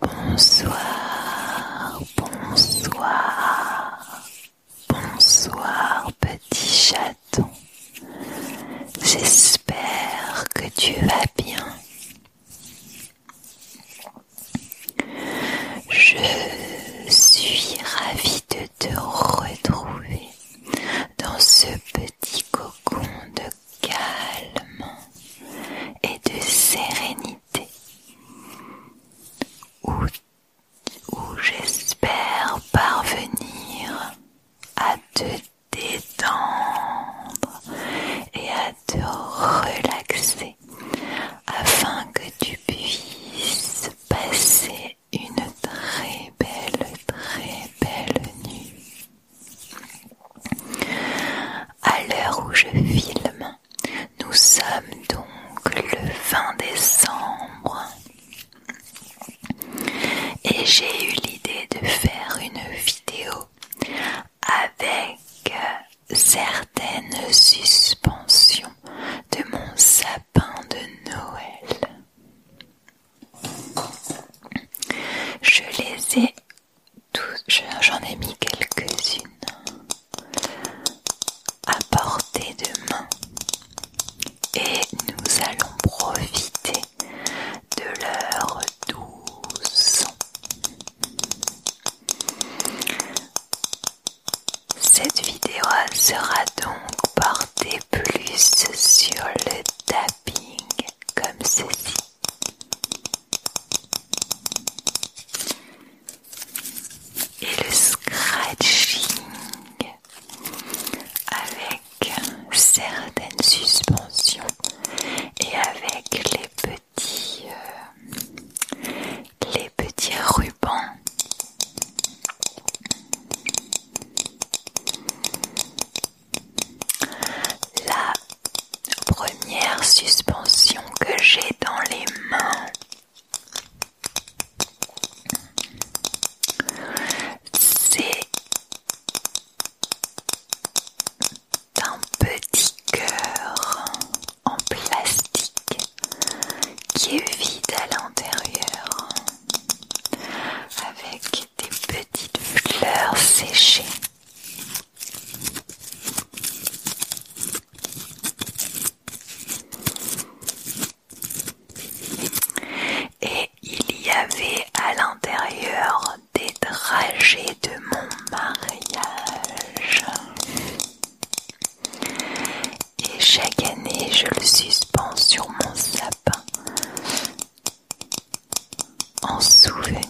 Bonsoir, bonsoir, bonsoir petit chaton. J'espère que tu vas bien. Je suis ravie de te retrouver dans ce petit cocon de calme et de sérénité où j'espère parvenir à te détendre et à te relaxer afin que tu puisses passer une très belle, très belle nuit. À l'heure où je filme, nous sommes donc le 20 décembre et j'ai eu l'idée de faire une vidéo avec euh, certaines suspensions de mon sapin de Noël. Je les ai j'en ai mis quelques-unes à portée de main et nous allons profiter de leur douce. Cette vidéo sera donc portée plus sur le tapping comme ceci et le scratching avec certaines suspensions et avec les petits euh, les petits rubans là la première suspension que j'ai dans les mains. C'est un petit cœur en plastique qui est vide à l'intérieur avec des petites fleurs séchées. Et il y avait à l'intérieur des dragées de mon mariage. Et chaque année, je le suspends sur mon sapin en souvenir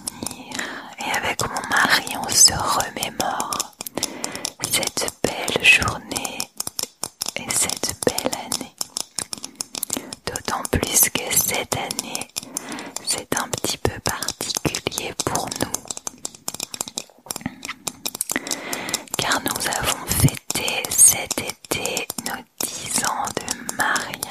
et avec mon mari on se remémore cette belle journée et cette belle année. D'autant plus que cette année c'est un petit peu particulier pour nous car nous avons fêté cet été nos dix ans de mariage.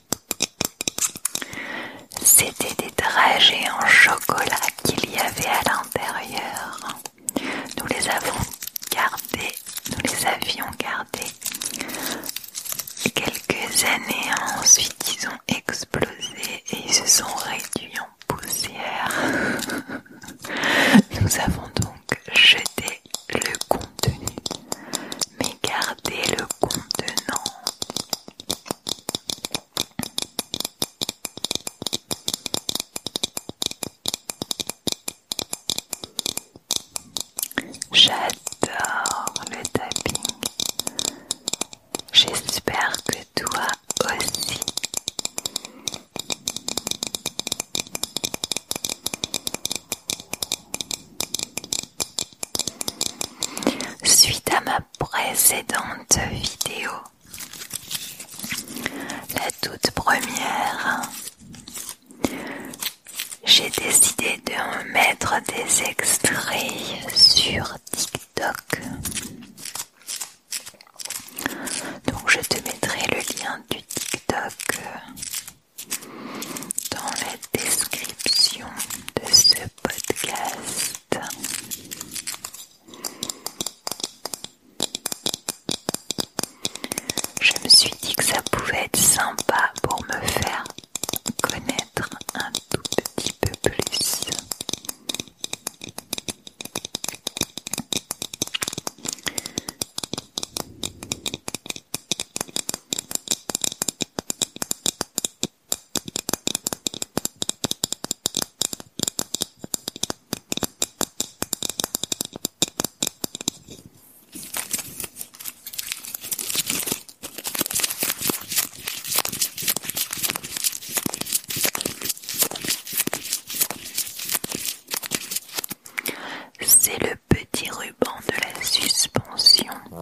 C'était des trajets en chocolat qu'il y avait à l'intérieur. Nous les avons gardés, nous les avions gardés Quelques années ensuite, ils ont explosé et ils se sont réduits en poussière. Nous avons donc jeté le contenu, mais gardé le contenant. J'adore le tapis, J'espère que toi aussi. Suite à ma précédente vidéo, la toute première, j'ai décidé de mettre des extraits sur TikTok. Donc je te mettrai le lien du TikTok dans la description de ce je me suis dit que ça pouvait être sympa pour me faire connaître un tout petit peu plus. C'est le petit ruban de la suspension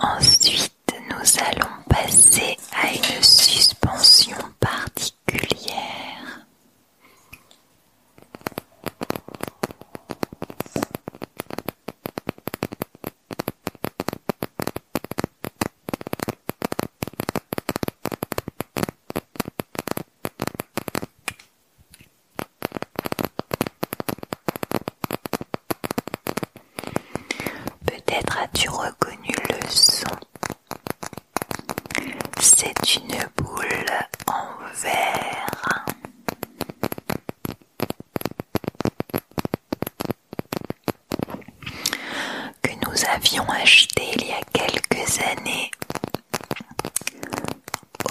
Ensuite, nous allons passer à une suspension particulière. Peut-être as-tu reconnu le son. C'est une boule en verre que nous avions acheté il y a quelques années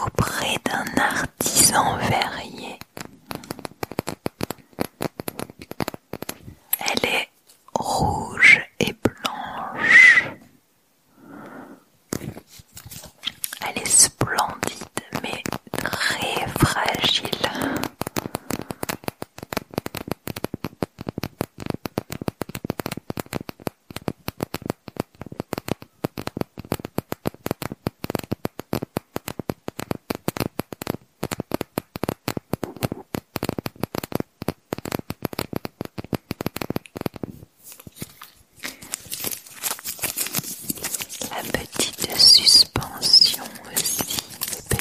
auprès d'un artisan verrier. Elle est rouge et blanche. Elle est splendide mais très fragile. La petite suspension aussi,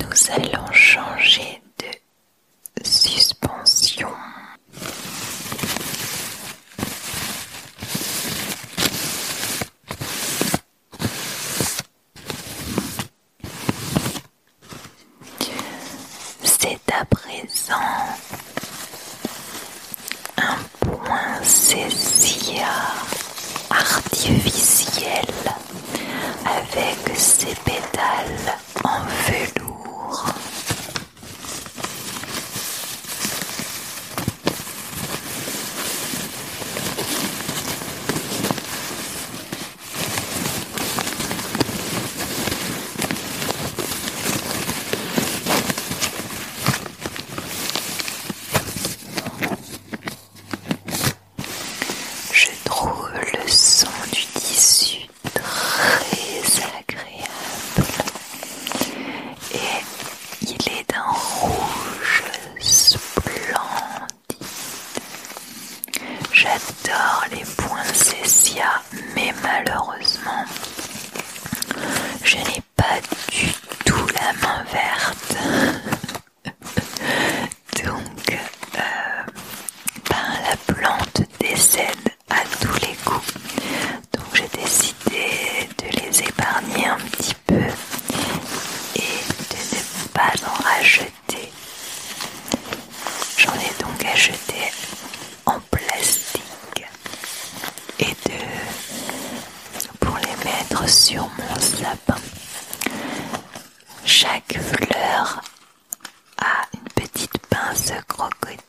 Nous allons changer de suspension. C'est à présent un point artificiel avec ses pétales en velours. Je trouve le son du tissu très agréable et il est d'un rouge splendide. J'adore les césia, mais malheureusement, je n'ai pas du tout la main verte. Donc, euh, ben, la plante décède à tous les coups. Donc, j'ai décidé de les épargner un petit peu et de ne pas en rajouter J'en ai donc acheté en plastique et deux pour les mettre sur mon sapin. Chaque fleur a une petite pince crocodile.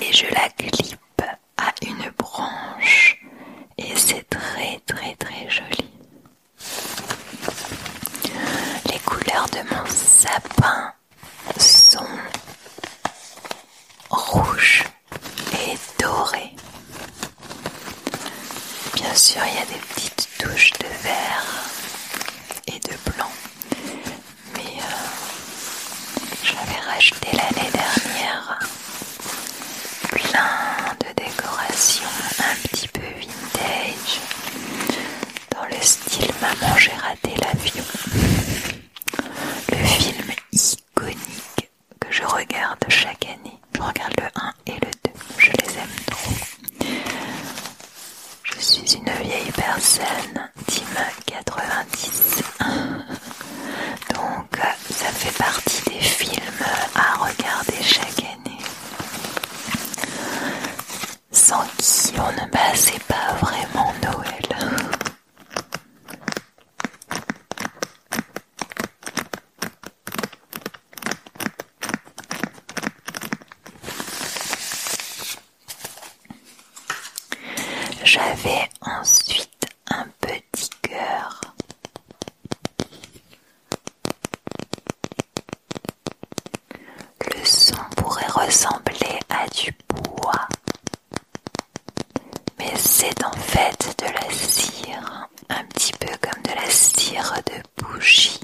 Et je la clipe à une branche et c'est très très très joli. Les couleurs de mon sapin sont rouge et doré. Bien sûr, il y a des petites touches de vert et de blanc, mais euh, j'avais racheté l'année dernière plein de décorations un petit peu vintage dans le style Maman j'ai raté l'avion. Le film iconique que je regarde chaque année. Je regarde le 1 et le 2. Je les aime trop. Je suis une vieille personne Team 90. Donc euh, ça fait partie des films à regarder chaque année. Sans qui on ne passait pas vraiment Noël. J'avais ensuite un petit cœur. Le son pourrait ressembler à du bois, mais c'est en fait de la cire, un petit peu comme de la cire de bougie.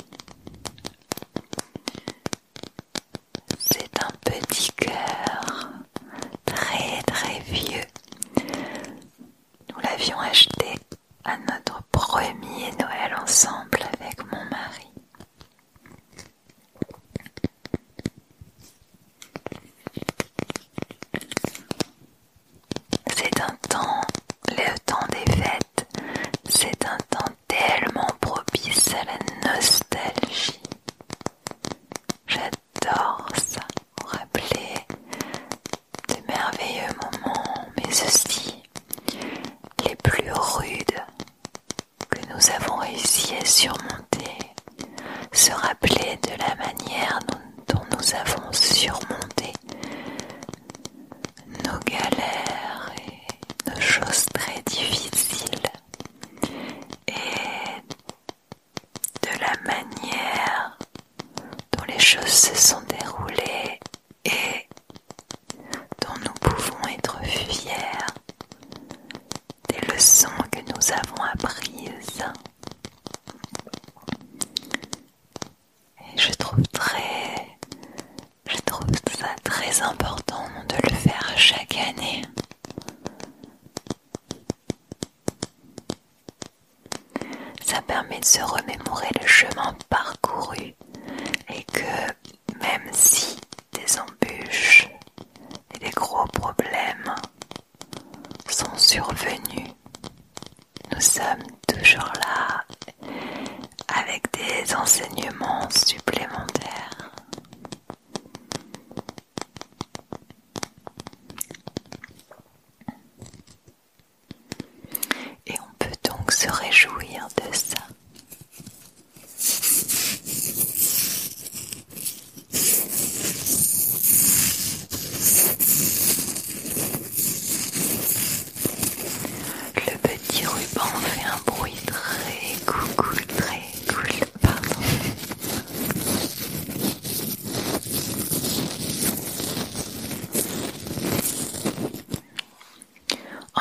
C'est un petit cœur très très vieux. Nous l'avions acheté à notre premier Noël ensemble avec mon mari. C'est un temps, le temps des fêtes, c'est un temps tellement propice à la nostalgie. J'adore ça, rappeler de merveilleux moments, mais aussi les plus rudes que nous avons réussi à surmonter, se rappeler de la manière dont nous avons surmonté nos galères de choses très difficiles et de la manière dont les choses se sont déroulées et dont nous pouvons être fiers des leçons que nous avons apprises. Et je trouve très je trouve ça très important de le faire chaque année. Ça permet de se remémorer le chemin parcouru et que même si des embûches et des gros problèmes sont survenus, nous sommes toujours là avec des enseignements supplémentaires. Et on peut donc se réjouir de ça. Le petit ruban fait un bruit très coucou, très cool. Pardon.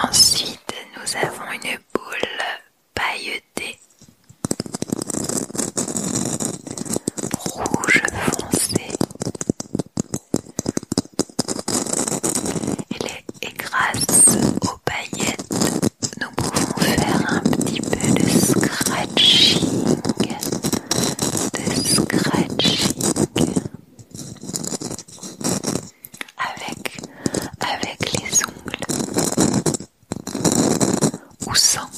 Ensuite, nous avons une boule pailletée rouge foncé et grâce aux paillettes, nous pouvons faire un petit peu de scratching, de scratching avec, avec les ongles ou sans.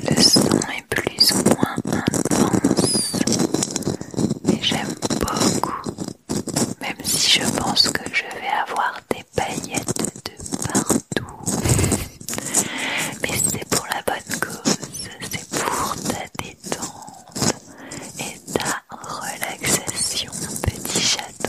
Le son est plus ou moins intense, mais j'aime beaucoup, même si je pense que je vais avoir des paillettes de partout. mais c'est pour la bonne cause, c'est pour ta et ta relaxation, petit chaton.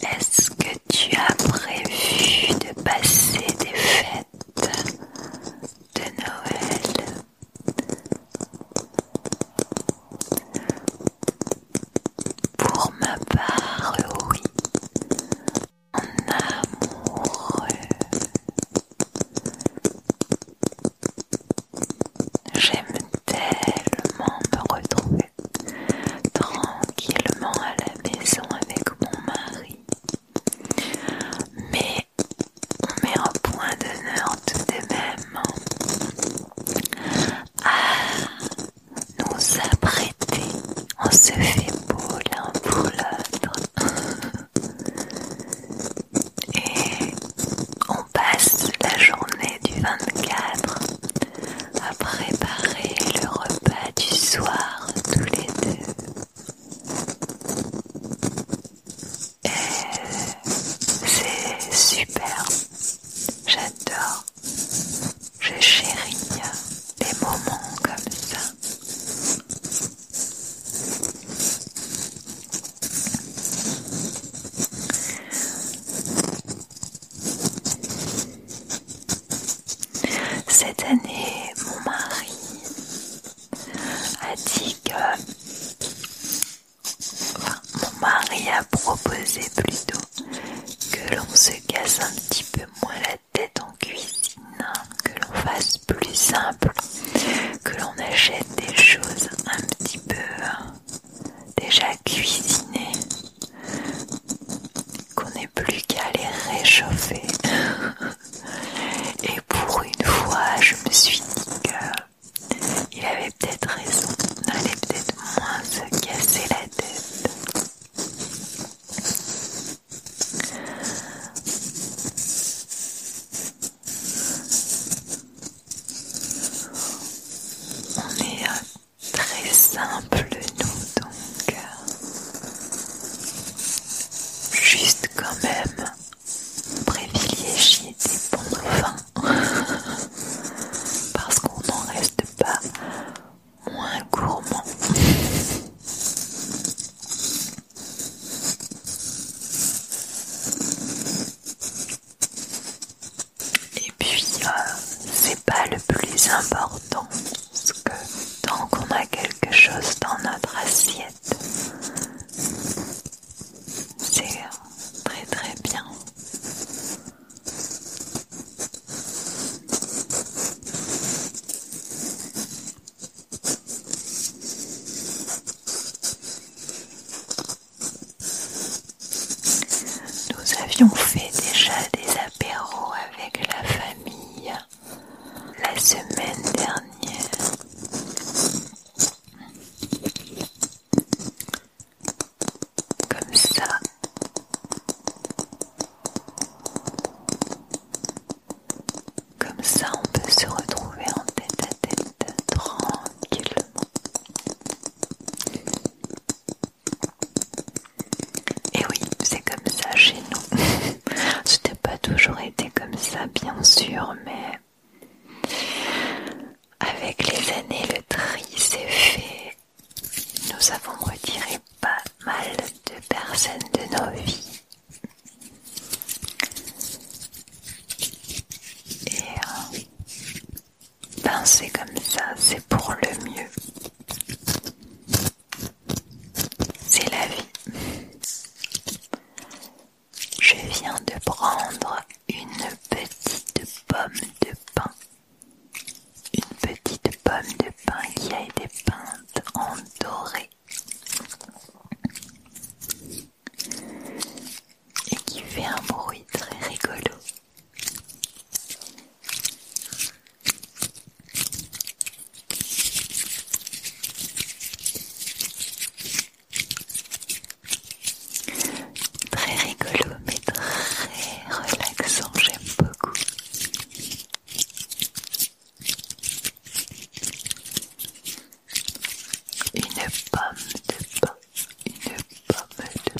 Est-ce que tu as prévu de passer des fêtes de Noël Pour ma part, oui. En amoureux. J'aime tellement me retrouver tranquillement à la maison avec mon mari. Mais on met un point d'honneur tout de même à nous apprêter. On se fait beau l'un pour l'autre. Et on passe la journée du 24 à préparer le repas du soir tous les deux. c'est super, j'adore, je chéris les moments comme ça. Cette année, mon mari a dit que... mon mari a proposé plutôt que l'on se casse un petit peu moins la tête en cuisine, hein, que l'on fasse plus simple, que l'on achète des choses un petit peu hein, déjà cuisinées qu'on n'ait plus qu'à les réchauffer. Et pour une fois, je me suis dit que il avait peut-être raison, on allait peut-être moins se casser la tête. On est euh, Très simple, nous donc. Juste quand même privilégier des bons Parce qu'on n'en reste pas moins gourmand. Et puis, euh, c'est pas le plus important que tant qu'on a quelque chose dans notre assiette, c'est très très bien. Nous avions fait déjà des avec la famille la semaine dernière. Comme ça. Comme ça, on peut se retrouver en tête à tête tranquillement. Et oui, c'est comme ça chez nous. C'était pas toujours été comme ça, bien sûr, mais avec les années, le tri s'est fait. Nous avons retiré pas mal de personnes de nos vies. Et euh, ben c'est comme ça, c'est pour le mieux. C'est la vie. Je viens de prendre une petite pomme de pain. Une petite pomme de pain qui a été peinte en doré et qui fait un bruit très rigolo. Très rigolo mais très relaxant, j'aime beaucoup. Une pomme de pain, une pomme de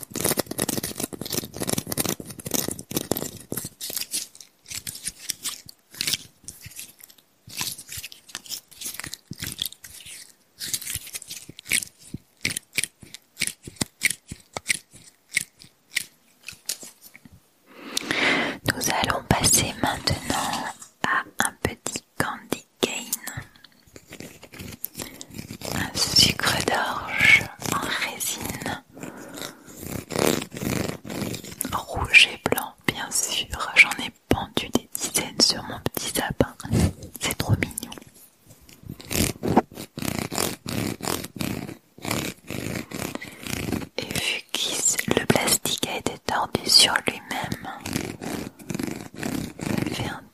Nous allons passer maintenant à un petit candy cane un sucre d'orge en résine rouge et blanc bien sûr j'en ai pendu des dizaines sur mon petit sapin c'est trop mignon et vu que le plastique a été tordu sur lui-même un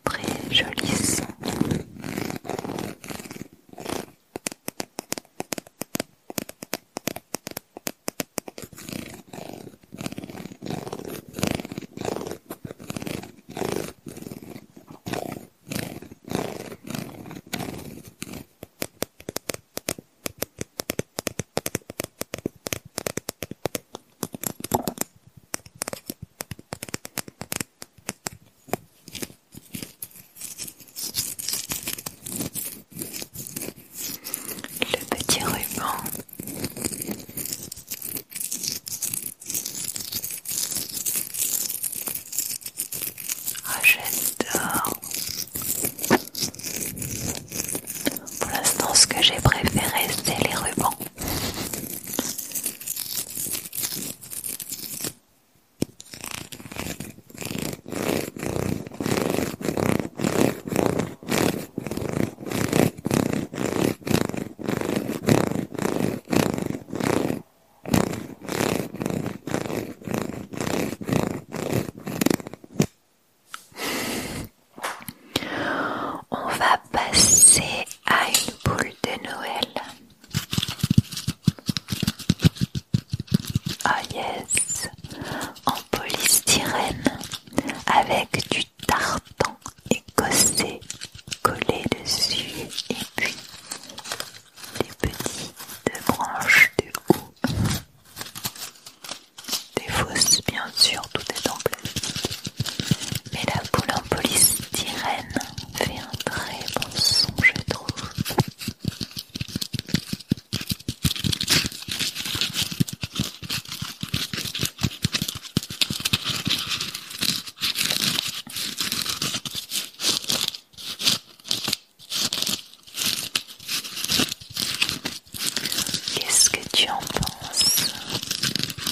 le petit ruban. Ah, j'adore. Pour l'instant, ce que j'ai préféré, c'est les rubans. On va passer à une boule de Noël. Ah yes, en polystyrène avec du tartan écossais collé dessus et puis des petites branches de houx. Des fausses bien sûr, tout est en plastique. Mais la boule en polystyrène Fais un très bon son, je trouve. Qu'est-ce que tu en penses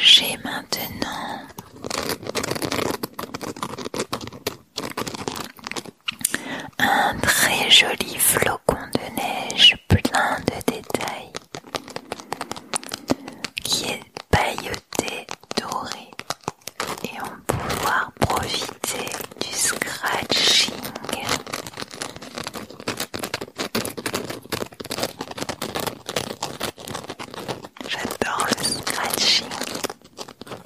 J'ai maintenant un très joli flocon de neige plein de détails qui est pailleté doré et on peut pouvoir profiter du scratching. J'adore le scratching.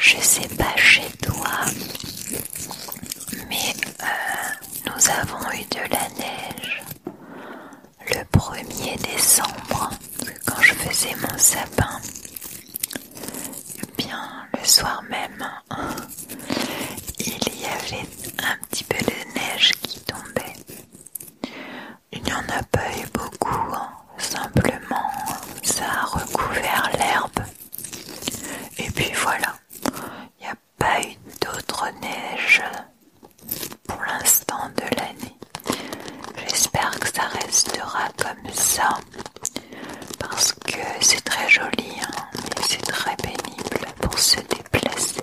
Je sais pas chez toi, mais euh, nous avons eu de la neige le 1er décembre, quand je faisais mon sapin. Eh bien, le soir même, il y avait un petit peu de neige qui tombait. Il n'y en a pas eu beaucoup, hein. simplement ça a recouvert l'herbe. Et puis voilà, il n'y a pas eu d'autres neige pour l'instant de l'année. J'espère que ça restera comme ça parce que c'est très joli hein, et c'est très pénible pour se déplacer.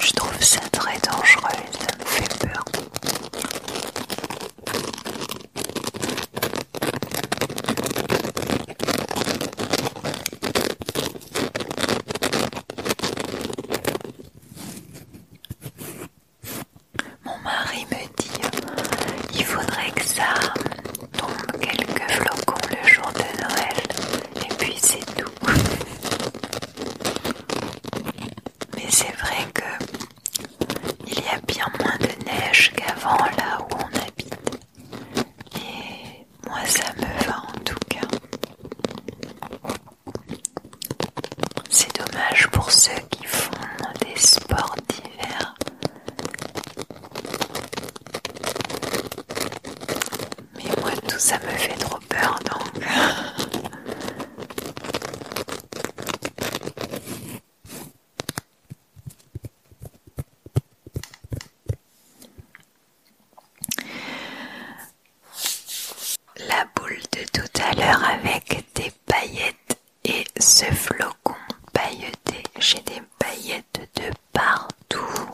Je trouve ça très dangereux et ça me fait peur. Mon mari me dit il faudrait que ça tombe quelques flocons le jour de Noël et puis c'est tout. Mais c'est vrai que il y a bien moins de neige qu'avant là où on habite. Et moi ça me va en tout cas. C'est dommage pour ceux qui font des sports d'hiver. Mais moi tout ça me fait trop peur donc. La boule de tout à l'heure avec des paillettes et ce flocon pailleté, j'ai des paillettes de partout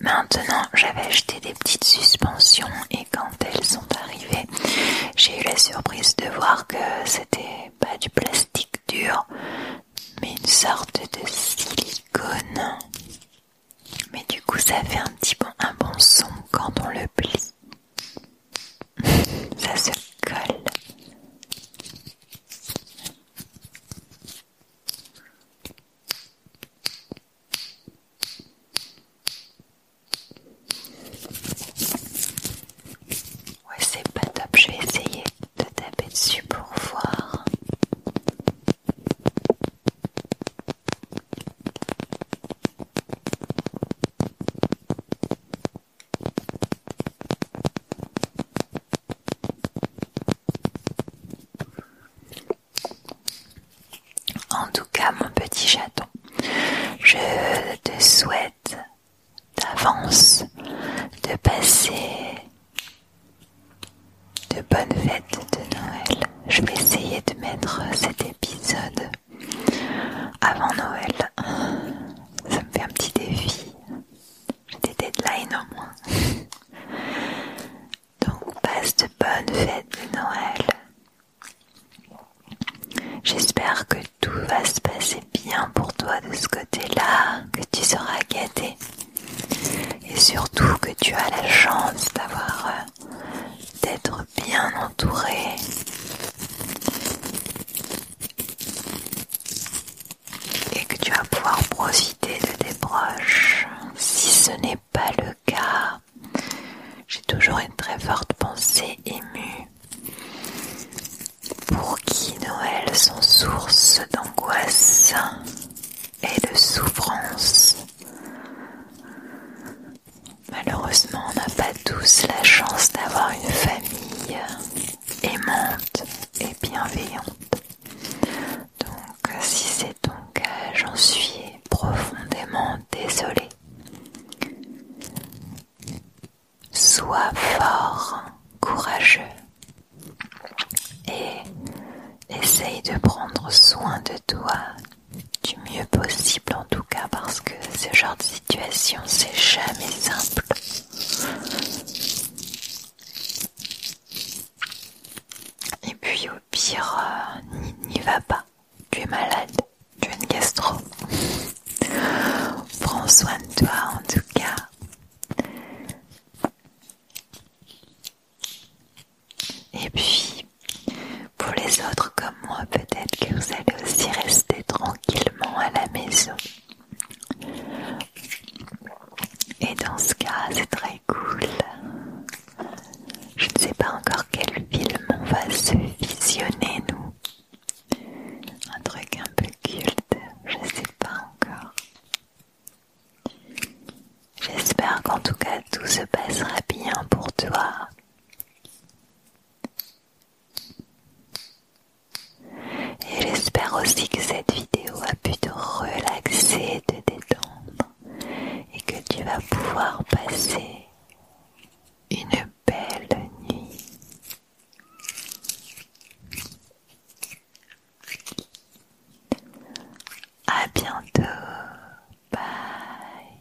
maintenant, j'avais acheté des petites suspensions et quand elles sont arrivées, j'ai eu la surprise de voir que c'était pas du plastique dur, mais une sorte de silicone. Mais du coup, ça fait un petit un bon son quand on le plie. Ça se colle. Ouais, c'est pas top, je vais essayer de taper dessus pour voir. En tout cas, mon petit chaton, je te souhaite d'avance de passer de bonnes fêtes de Noël. Je vais essayer de mettre cet épisode avant Noël. Ça me fait un petit défi. J'ai des deadlines au Donc passe de bonnes fêtes de Noël. J'espère que tout va se passer bien pour toi de ce côté-là, que tu seras gâté. Et surtout que tu as la chance d'avoir euh, d'être bien entouré et que tu vas pouvoir profiter de tes proches. Si ce n'est pas le cas, j'ai toujours une très forte pensée émue pour qui Noël sont source d'angoisse et de souffrance. Malheureusement, on n'a pas tous la chance d'avoir une famille aimante et bienveillante. Donc, si c'est ton cas, j'en suis profondément désolée. Sois fort, courageux et essaye de prendre soin de toi du mieux possible en tout cas parce que ce genre de situation c'est jamais simple. Et puis au pire, euh, n'y va pas. Tu es malade, tu as une gastro. Prends soin de toi en tout cas. Et puis, pour les autres comme moi, peut-être que vous allez aussi rester tranquillement à la maison. Et dans ce cas, c'est très cool. Je ne sais pas encore quel film on va se visionner, nous. Un truc un peu culte, je ne sais pas encore. J'espère qu'en tout cas tout se passera bien pour toi. Et j'espère aussi que cette vidéo a pu te relaxer, te détendre et que tu vas pouvoir passer une belle nuit. À bientôt. Bye.